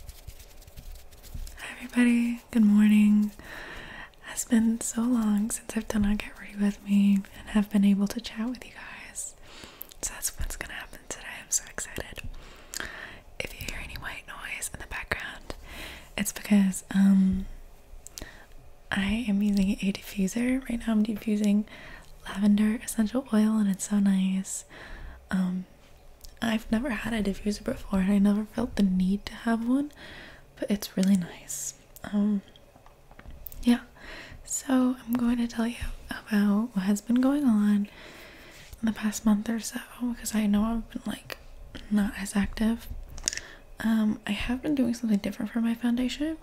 Hi everybody, good morning. It's been so long since I've done a get ready with me and have been able to chat with you guys. So that's what's gonna happen today. I'm so excited. If you hear any white noise in the background, it's because um I am using a diffuser. Right now I'm diffusing lavender essential oil and it's so nice. Um I've never had a diffuser before and I never felt the need to have one, but it's really nice. Um, yeah, so I'm going to tell you about what has been going on in the past month or so because I know I've been like not as active. Um, I have been doing something different for my foundation.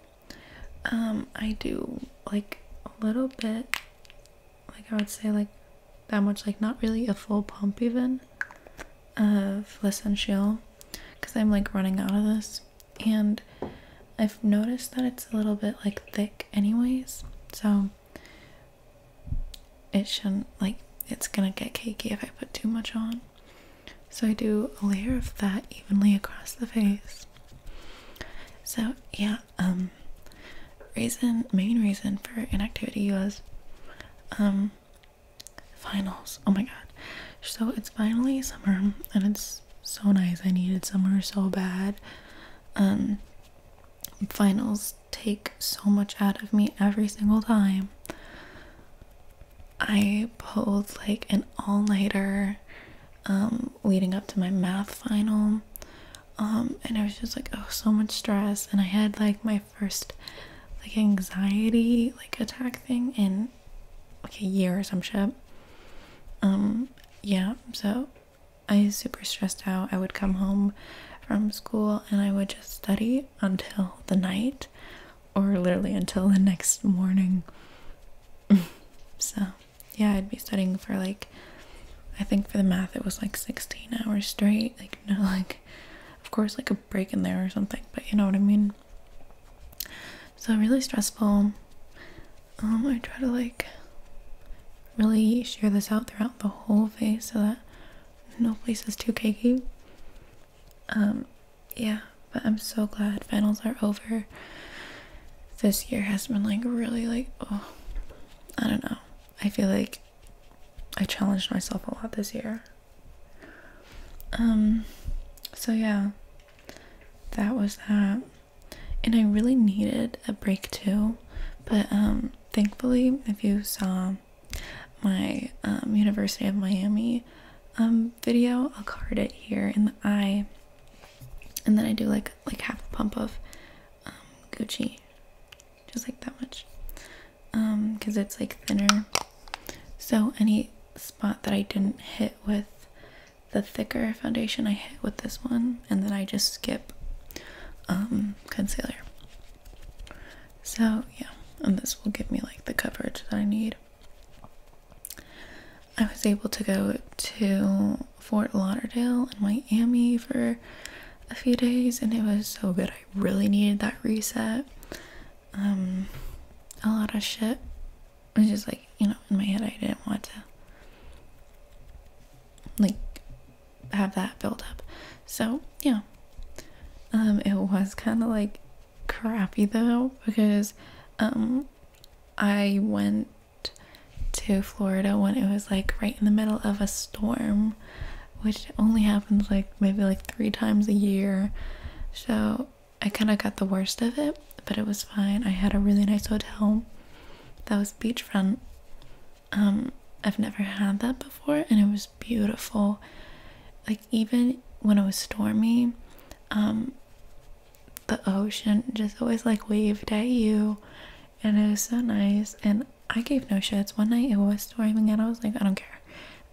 Um, I do like a little bit, like I would say, like that much, like not really a full pump even of essential, because I'm like running out of this and I've noticed that it's a little bit like thick anyways so it shouldn't like it's gonna get cakey if I put too much on so I do a layer of that evenly across the face so yeah um reason main reason for inactivity was um finals. Oh my god. So it's finally summer and it's so nice. I needed summer so bad. Um finals take so much out of me every single time. I pulled like an all-nighter um leading up to my math final um and I was just like oh so much stress and I had like my first like anxiety like attack thing in like a year or some shit um yeah so I was super stressed out I would come home from school and I would just study until the night or literally until the next morning so yeah I'd be studying for like I think for the math it was like 16 hours straight. Like, you like, of course, like a break in there or something, but you know what I mean? So, really stressful. Um, I try to like really shear this out throughout the whole face so that no place is too cakey. Um, yeah, but I'm so glad finals are over. This year has been like really like, oh, I don't know. I feel like I challenged myself a lot this year. Um, so yeah, that was that. And I really needed a break too, but um, thankfully, if you saw my um, University of Miami um video, I'll card it here in the eye, and then I do like like half a pump of um, Gucci just like that much um because it's like thinner so any spot that i didn't hit with the thicker foundation i hit with this one and then i just skip um concealer so yeah and this will give me like the coverage that i need i was able to go to fort lauderdale and miami for a few days and it was so good. I really needed that reset. Um, a lot of shit. was just like, you know, in my head, I didn't want to like have that build up. So, yeah. Um, it was kind of like crappy though because um I went to Florida when it was like right in the middle of a storm which only happens like maybe like three times a year. So I kind of got the worst of it, but it was fine. I had a really nice hotel that was beachfront. Um, I've never had that before, and it was beautiful. Like, even when it was stormy, um, the ocean just always like waved at you, and it was so nice. And I gave no shits. One night it was storming and I was like, I don't care.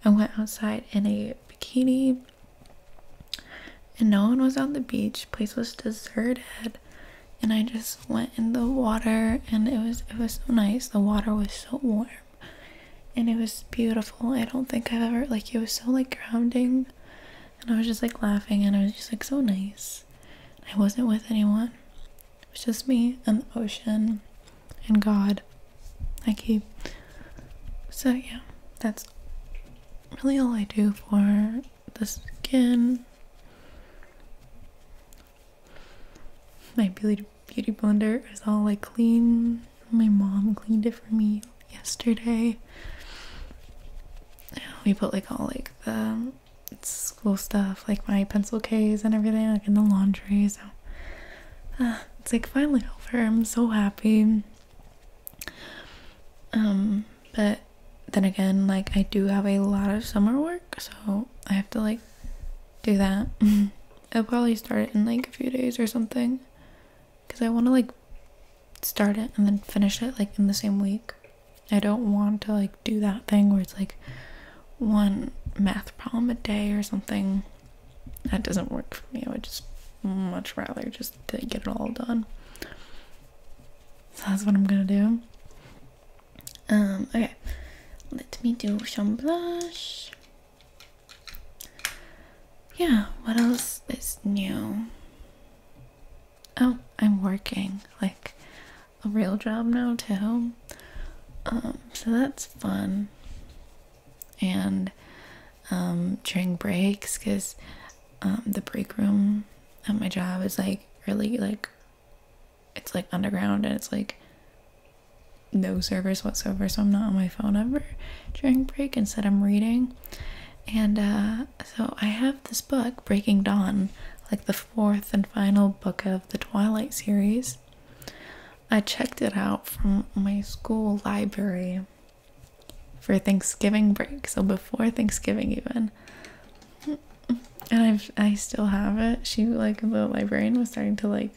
I went outside in a bikini and no one was on the beach. Place was deserted. And I just went in the water and it was it was so nice. The water was so warm and it was beautiful. I don't think I've ever like it was so like grounding and I was just like laughing and I was just like so nice. I wasn't with anyone. It was just me and the ocean and God. Like he. So, yeah, that's really all I do for the skin. My beauty, beauty blender is all like clean. My mom cleaned it for me yesterday. We put like all like the school stuff, like my pencil case and everything, like in the laundry. So uh, it's like finally over. I'm so happy. Um, but then again, like I do have a lot of summer work, so I have to like do that. I'll probably start it in like a few days or something because I want to like start it and then finish it like in the same week. I don't want to like do that thing where it's like one math problem a day or something. That doesn't work for me. I would just much rather just get it all done. that's what I'm gonna do. Um, okay. Let me do some blush. Yeah, what else is new? Oh, I'm working. Like, a real job now too. Um, so that's fun. And um, during breaks, because um, the break room at my job is like really like it's like underground and it's like no service whatsoever, so I'm not on my phone ever during break. Instead, I'm reading. And uh, so I have this book, Breaking Dawn, like the fourth and final book of the Twilight series. I checked it out from my school library for Thanksgiving break, so before Thanksgiving even. And i I still have it. She like the librarian was starting to like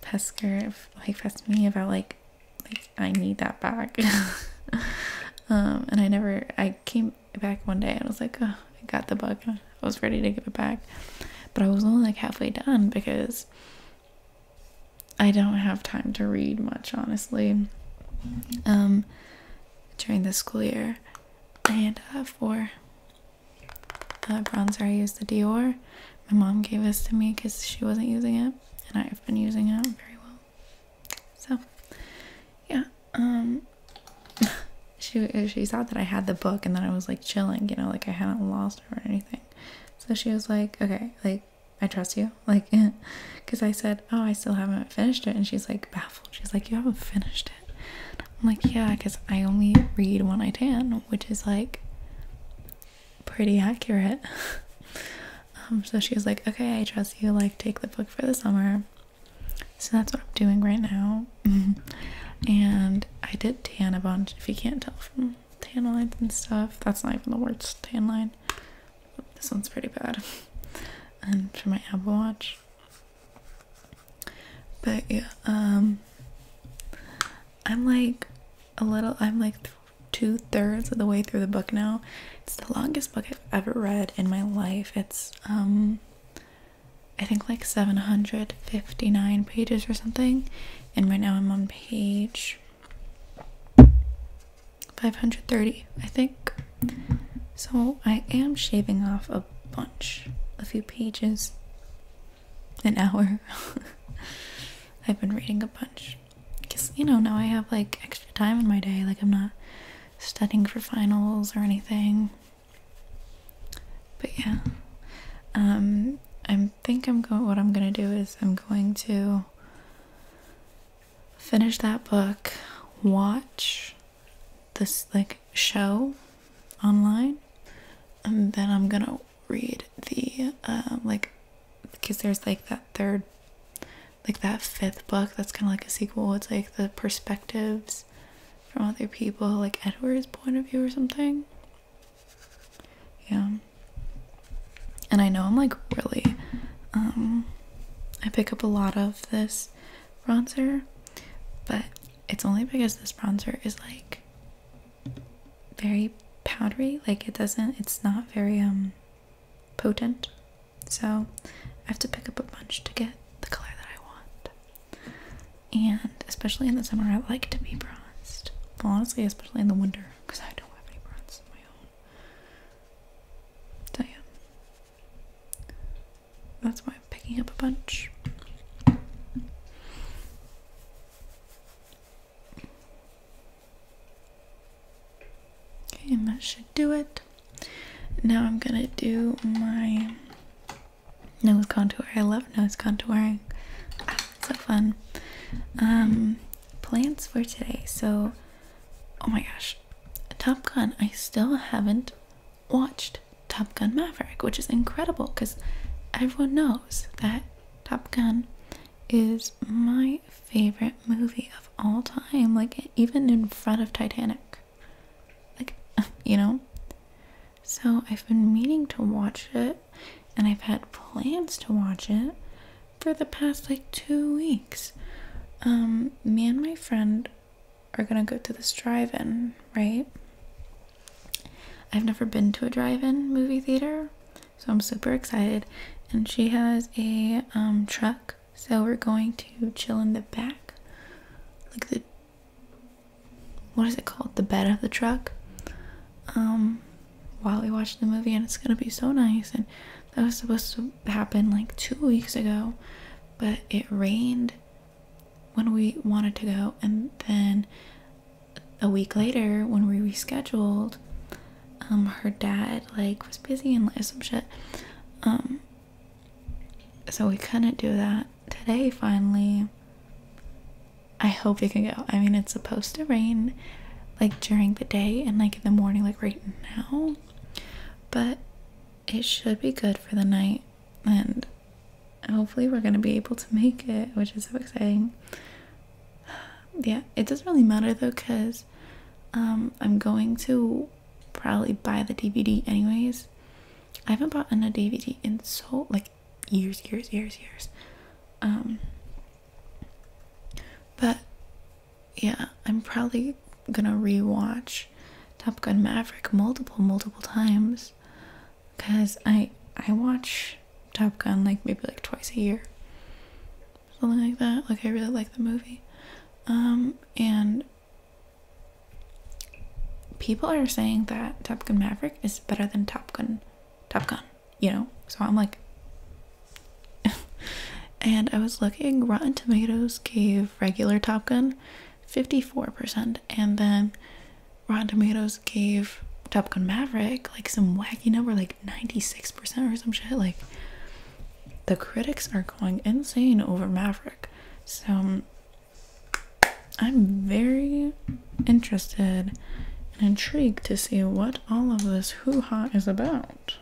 pester like pest me about like like I need that back. um and I never I came back one day I was like, I got the book. I was ready to give it back. But I was only like halfway done because I don't have time to read much, honestly, um, during the school year. And uh, four. uh, bronzer, I used the Dior. My mom gave this to me because she wasn't using it, and I've been using it very well. So, yeah um she she saw that i had the book and that i was like chilling you know like i hadn't lost her or anything so she was like okay like i trust you like because i said oh i still haven't finished it and she's like baffled she's like you haven't finished it i'm like yeah because i only read when i tan, which is like pretty accurate um, so she was like okay i trust you like take the book for the summer so that's what I'm doing right now. and I did tan a bunch, if you can't tell from tan lines and stuff. That's not even the word tan line. This one's pretty bad. and for my Apple Watch. But yeah, um, I'm like a little, I'm like two thirds of the way through the book now. It's the longest book I've ever read in my life. It's, um, I think like 759 pages or something, and right now I'm on page 530, I think. So I am shaving off a bunch, a few pages, an hour. I've been reading a bunch because you know, now I have like extra time in my day, like I'm not studying for finals or anything but yeah um i think i'm going what i'm going to do is i'm going to finish that book watch this like show online and then i'm going to read the uh, like because there's like that third like that fifth book that's kind of like a sequel it's like the perspectives from other people, like Edward's point of view or something. Yeah. And I know I'm like really, um, I pick up a lot of this bronzer, but it's only because this bronzer is like very powdery. Like it doesn't, it's not very, um, potent. So I have to pick up a bunch to get the color that I want. And especially in the summer, I like to be bronzed. Well, honestly, especially in the winter, because I don't have any bronze of my own. So, yeah. That's why I'm picking up a bunch. Okay, and that should do it. Now I'm gonna do my nose contour. I love nose contouring. Ah, so fun. Um, plans for today. So, oh my gosh, Top Gun. I still haven't watched Top Gun Maverick, which is incredible because everyone knows that Top Gun is my favorite movie of all time. Like, even in front of Titanic. Like, you know? So I've been meaning to watch it and I've had plans to watch it for the past like two weeks. Um, me and my friend are gonna go to this drive in, right? I've never been to a drive in movie theater, so I'm super excited. And she has a um, truck, so we're going to chill in the back, like the what is it called? The bed of the truck. Um, while we watched the movie, and it's gonna be so nice. And that was supposed to happen like two weeks ago, but it rained when we wanted to go, and then a week later when we rescheduled, um, her dad like was busy and some shit. Um, so we couldn't do that today finally I hope it can go. I mean, it's supposed to rain like during the day and like in the morning, like right now, but it should be good for the night. And hopefully, we're going to be able to make it, which is so exciting. Yeah, it doesn't really matter though, because um, I'm going to probably buy the DVD anyways. I haven't bought an DVD in so like years, years, years, years. Um but yeah, I'm probably gonna rewatch Top Gun Maverick multiple, multiple times. Cause I I watch Top Gun like maybe like twice a year. Something like that. Like I really like the movie. Um and people are saying that Top Gun Maverick is better than Top Gun, Top Gun, you know? So I'm like, and I was looking, Rotten Tomatoes gave regular Top Gun 54%, and then Rotten Tomatoes gave Top Gun Maverick like some wacky number, like 96% or some shit. Like, the critics are going insane over Maverick. So I'm very interested and intrigued to see what all of this hoo ha is about.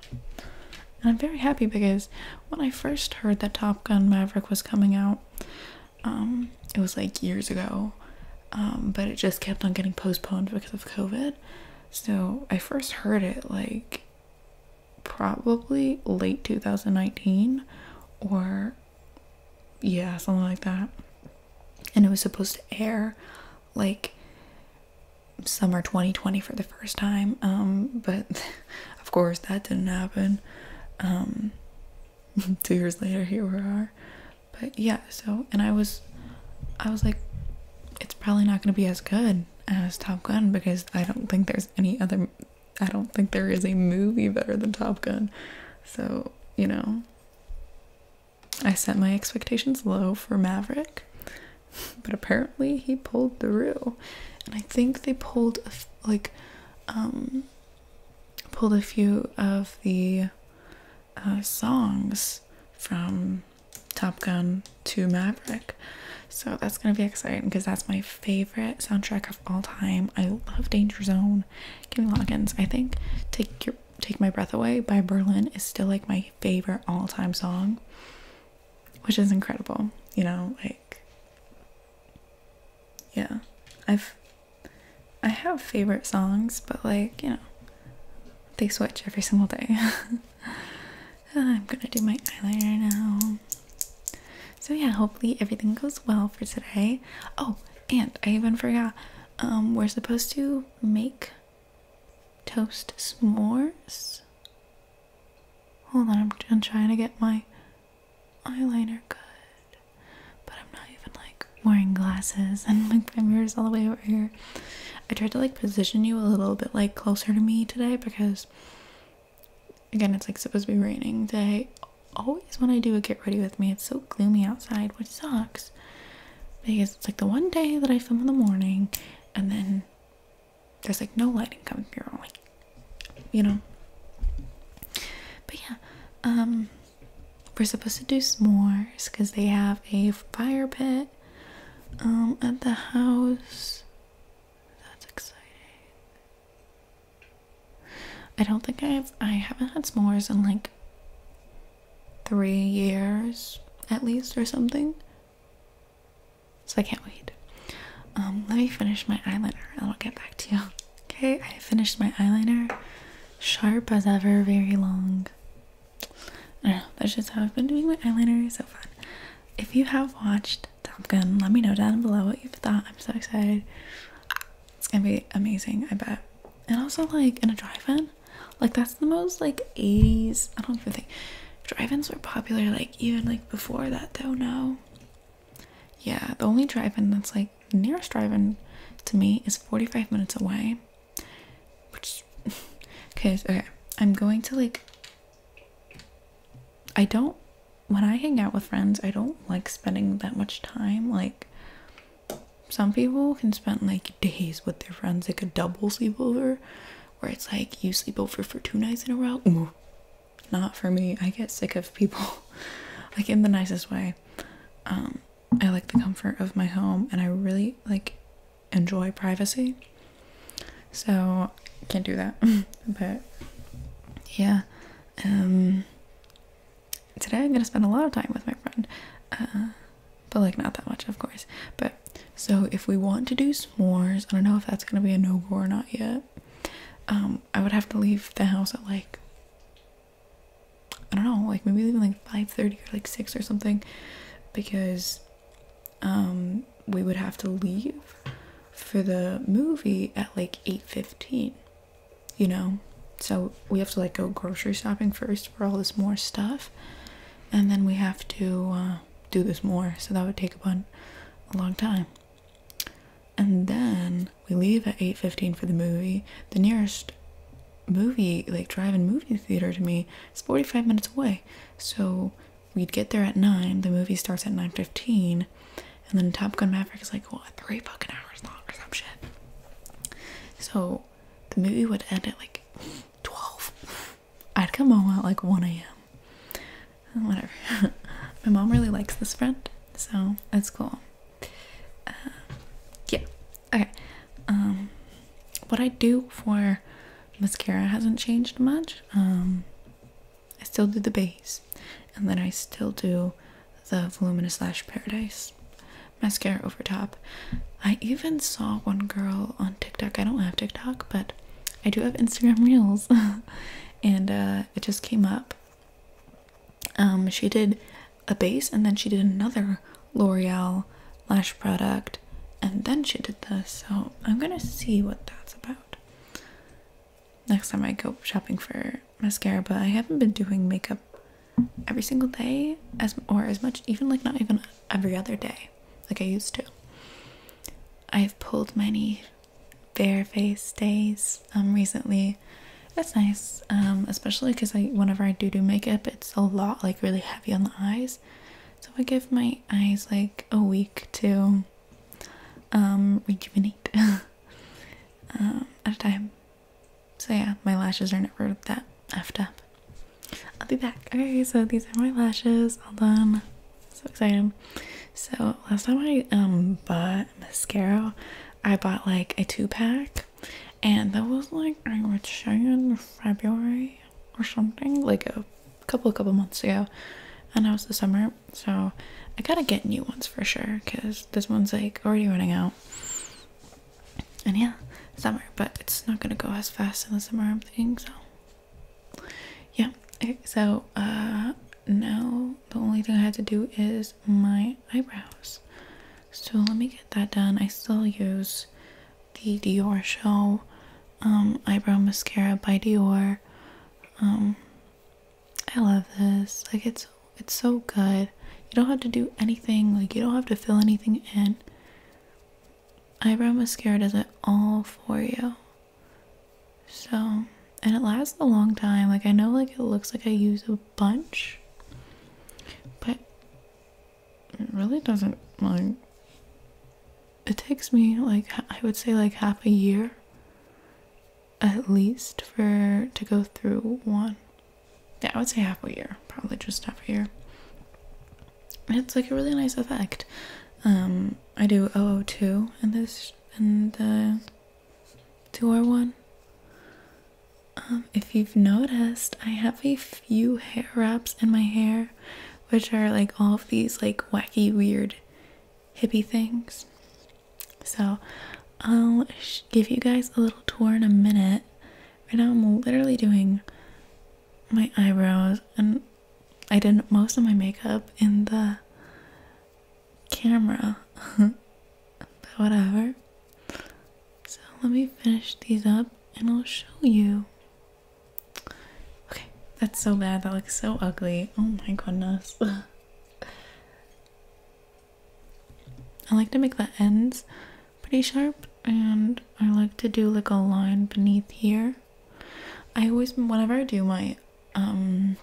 And I'm very happy because when I first heard that Top Gun Maverick was coming out, um, it was like years ago, um, but it just kept on getting postponed because of COVID. So I first heard it like probably late 2019 or yeah, something like that. And it was supposed to air like summer 2020 for the first time. Um, but of course that didn't happen. Um, two years later, here we are. But yeah, so and I was, I was like, it's probably not gonna be as good as Top Gun because I don't think there's any other I don't think there is a movie better than Top Gun. So, you know, I set my expectations low for Maverick, but apparently he pulled through. And I think they pulled, like, um, pulled a few of the uh, songs from Top Gun to Maverick. So that's going to be exciting because that's my favorite soundtrack of all time. I love Danger Zone. Kenny Loggins. I think Take Your Take My Breath Away by Berlin is still like my favorite all-time song. Which is incredible, you know, like yeah. I've I have favorite songs, but like, you know, they switch every single day. I'm gonna do my eyeliner now. So yeah, hopefully everything goes well for today. Oh, and I even forgot. Um, we're supposed to make toast s'mores. Hold on, I'm, I'm trying to get my eyeliner good, but I'm not even like wearing glasses and like my mirror's all the way over here. I tried to like position you a little bit like closer to me today because Again, it's like supposed to be raining today. Always when I do a get ready with me, it's so gloomy outside, which sucks. Because it's like the one day that I film in the morning and then there's like no lighting coming through. I'm like, you know. But yeah, um we're supposed to do s'mores because they have a fire pit um at the house. That's exciting. I don't think I've I haven't had s'mores in like three years at least or something. So I can't wait. Um, let me finish my eyeliner and I'll get back to you. Okay, I finished my eyeliner. Sharp as ever, very long. I know, that's just how I've been doing my eyeliner. So fun. If you have watched Top Gun. Let me know down below what you thought. I'm so excited. It's gonna be amazing, I bet. And also like in a drive-in, like that's the most like 80s. I don't even think drive-ins were popular like even like before that though, no. Yeah, the only drive-in that's like nearest drive-in to me is 45 minutes away. Which cause okay, I'm going to like I don't when I hang out with friends, I don't like spending that much time. Like, some people can spend like days with their friends, like a double sleepover, where it's like you sleep over for two nights in a row. not for me. I get sick of people, like in the nicest way. Um, I like the comfort of my home, and I really like enjoy privacy. So can't do that, but yeah, um, today I'm gonna spend a lot of time with my friend, uh, but like not that much, of course. But so if we want to do s'mores, I don't know if that's gonna be a no go or not yet. Um, I would have to leave the house at like I don't know, like maybe even like 5:30 or like six or something, because um we would have to leave for the movie at like 8.15 you know so we have to like go grocery shopping first for all this more stuff and then we have to uh, do this more so that would take about a long time and then we leave at 8.15 for the movie the nearest movie like drive-in movie theater to me is 45 minutes away so we'd get there at 9 the movie starts at 9.15 and then Top Gun Maverick is like what three fucking hours long or some shit. So the movie would end at like twelve. I'd come home at like one a.m. Whatever. My mom really likes this friend, so that's cool. Uh, yeah. Okay. Um, what I do for mascara hasn't changed much. Um, I still do the base, and then I still do the Voluminous Lash Paradise mascara over top. I even saw one girl on TikTok. I don't have TikTok, but I do have Instagram Reels, and uh, it just came up. Um, she did a base, and then she did another L'Oreal lash product, and then she did this. So I'm gonna see what that's about next time I go shopping for mascara, but I haven't been doing makeup every single day as or as much even like not even every other day like I used to. I've pulled many bare face days um, recently. That's nice. Um, especially cuz I whenever I do do makeup, it's a lot like really heavy on the eyes. So I give my eyes like a week to um, rejuvenate um, at a time. So yeah, my lashes are never that effed up. I'll be back. Okay, so these are my lashes, all done. So excited. So last time I um bought mascara, I bought like a two pack, and that was like I would say in February or something, like a couple couple months ago, and that was the summer. So I gotta get new ones for sure because this one's like already running out. And yeah, summer, but it's not gonna go as fast in the summer, I'm thinking. So yeah, okay, eh, so uh, now the only thing I had to do is my eyebrows. So let me get that done. I still use the Dior Show um, eyebrow mascara by Dior. Um, I love this. Like it's it's so good. You don't have to do anything. Like you don't have to fill anything in. Eyebrow mascara does it all for you. So, and it lasts a long time. Like I know like it looks like I use a bunch. But it really doesn't like it takes me like I would say like half a year at least for to go through one. Yeah, I would say half a year, probably just half a year. it's like a really nice effect. Um, I do 002 and this and the 2 or one Um, if you've noticed, I have a few hair wraps in my hair, which are like all of these like wacky, weird, hippie things. So I'll give you guys a little tour in a minute. Right now I'm literally doing my eyebrows and I did most of my makeup in the camera. but whatever. So let me finish these up and I'll show you. Okay, that's so bad. That looks so ugly. Oh my goodness. I like to make the ends pretty sharp and I like to do like a line beneath here. I always whenever I do my um,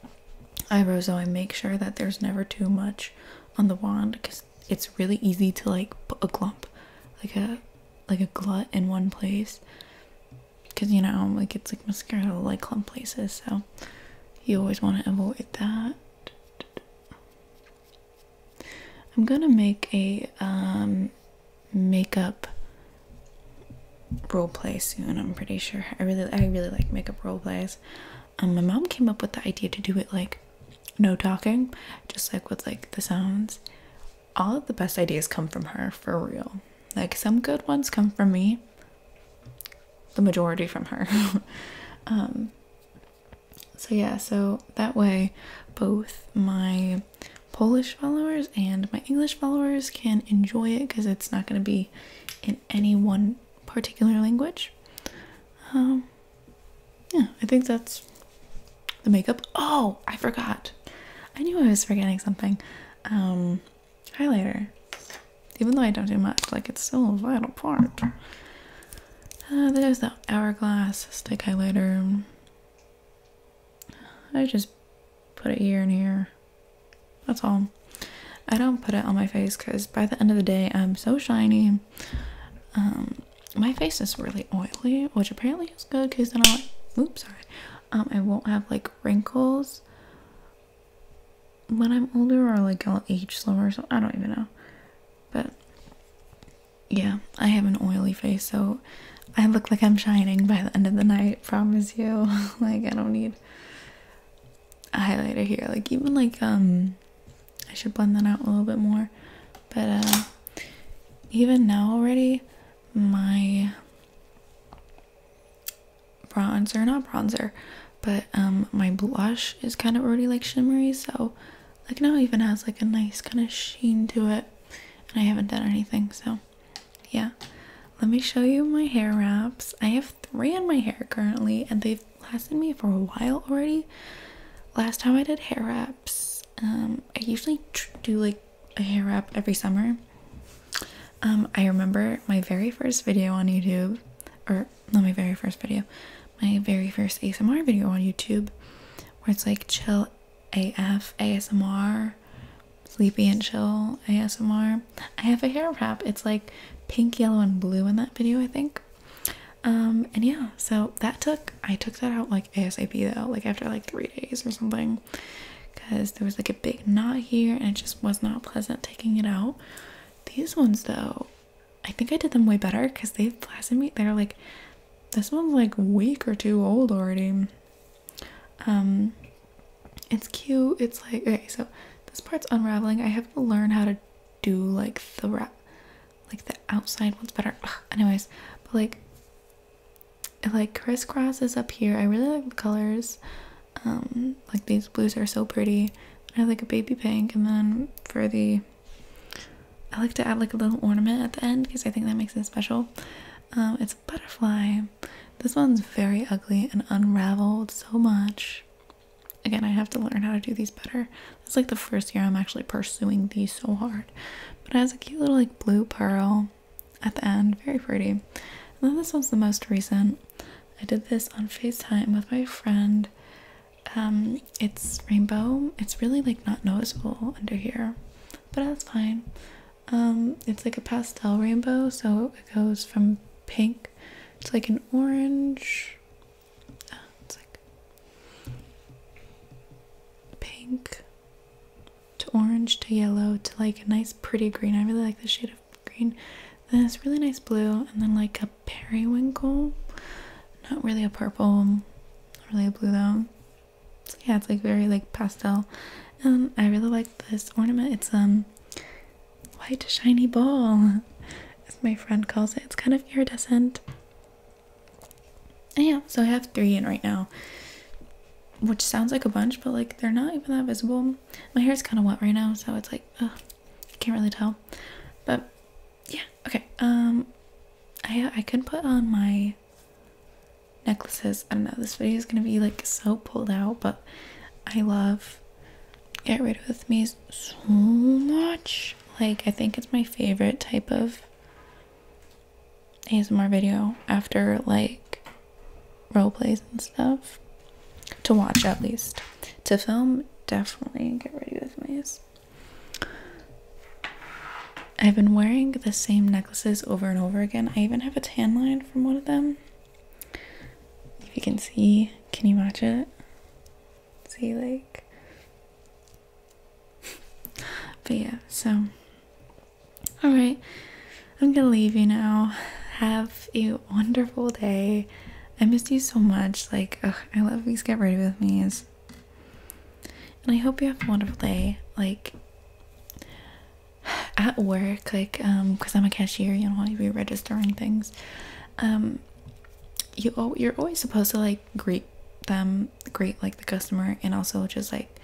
eyebrows though I make sure that there's never too much on the wand because it's really easy to like a clump like a like a glut in one place because you know like it's like mascara like clump places so you always want to avoid that i'm gonna make a um makeup role play soon i'm pretty sure i really i really like makeup role plays um, my mom came up with the idea to do it like no talking just like with like the sounds all of the best ideas come from her for real like some good ones come from me the majority from her. Um, so, yeah, so that way both my Polish followers and my English followers can enjoy it because it's not going to be in any one particular language. Um, yeah, I think that's the makeup. Oh, I forgot. I knew I was forgetting something. Um, highlighter. Even though I don't do much, like it's still a vital part. Uh, there's the hourglass stick highlighter. I just put it here and here. That's all. I don't put it on my face because by the end of the day, I'm so shiny. Um, my face is really oily, which apparently is good because then I, oops, sorry, um, I won't have like wrinkles when I'm older or like I'll age slower, so I don't even know. But yeah, I have an oily face, so I look like I'm shining by the end of the night, promise you. like I don't need a highlighter here. Like even like um I should blend that out a little bit more. But uh even now already my bronzer, not bronzer, but um my blush is kind of already like shimmery, so like now even has like a nice kind of sheen to it. And I haven't done anything, so yeah. Let me show you my hair wraps. I have three in my hair currently, and they've lasted me for a while already. Last time I did hair wraps, um, I usually do like a hair wrap every summer, um, I remember my very first video on YouTube, or not my very first video, my very first ASMR video on YouTube, where it's like chill AF ASMR, sleepy and chill ASMR. I have a hair wrap. It's like pink, yellow, and blue in that video, I think. Um, and yeah, so that took I took that out like ASAP though, like after like three days or something because there was like a big knot here and it just was not pleasant taking it out. These ones though, I think I did them way better because they've blasted me. They're like this one's like week or two old already. Um it's cute. It's like okay, so this part's unraveling. I have to learn how to do like the wrap like the outside one's better. anyways, but like it like crisscrosses up here. I really like the colors. Um, like these blues are so pretty i have like a baby pink and then for the i like to add like a little ornament at the end because i think that makes it special um, it's a butterfly this one's very ugly and unraveled so much again i have to learn how to do these better it's like the first year i'm actually pursuing these so hard but it has a cute little like blue pearl at the end very pretty and then this one's the most recent I did this on FaceTime with my friend. Um, it's rainbow. It's really like not noticeable under here, but that's fine. Um, it's like a pastel rainbow, so it goes from pink to like an orange. it's like pink to orange to yellow to like a nice pretty green. I really like the shade of green, this really nice blue, and then like a periwinkle. Not really a purple, really a blue though. So yeah, it's like very like pastel. Um, I really like this ornament. It's um white shiny ball, as my friend calls it. It's kind of iridescent. And yeah, so I have three in right now, which sounds like a bunch, but like they're not even that visible. My hair is kind of wet right now, so it's like, I can't really tell. But yeah, okay. Um, I uh, I can put on my necklaces. I don't know. This video is gonna be like so pulled out, but I love Get Rid With Me so much. Like I think it's my favorite type of ASMR video after like role plays and stuff to watch at least to film definitely get ready with me i've been wearing the same necklaces over and over again i even have a tan line from one of them if you can see can you watch it see like but yeah so all right I'm gonna leave you now. Have a wonderful day. I missed you so much. Like, I love these get ready with me's. And I hope you have a wonderful day. Like at work, like um, because I'm a cashier, you know, want to be registering things. Um, you oh, you're always supposed to like greet them, greet like the customer, and also just like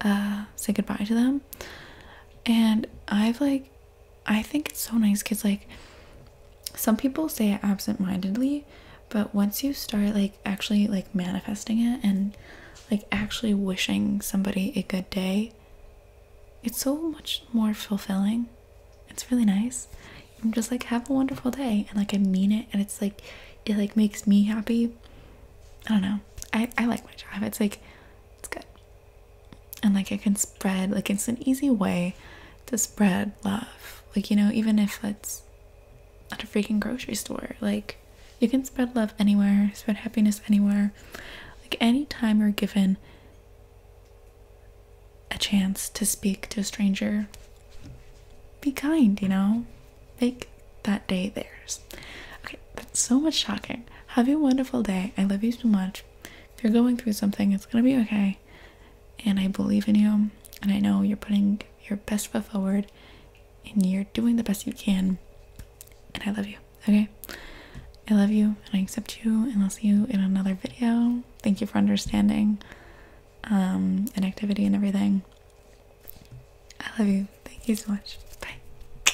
uh say goodbye to them. And I've like I think it's so nice because, like, some people say it absent-mindedly, but once you start like actually like manifesting it and like actually wishing somebody a good day, it's so much more fulfilling. It's really nice. I'm just like have a wonderful day, and like I mean it, and it's like it like makes me happy. I don't know. I I like my job. It's like it's good and like it can spread like it's an easy way to spread love like you know even if it's at a freaking grocery store like you can spread love anywhere spread happiness anywhere like any time you're given a chance to speak to a stranger be kind you know make that day theirs okay that's so much shocking. Have a wonderful day. I love you so much. If you're going through something, it's gonna be okay. And I believe in you. And I know you're putting your best foot forward and you're doing the best you can. And I love you. Okay? I love you and I accept you and I'll see you in another video. Thank you for understanding um and activity and everything. I love you. Thank you so much. Bye.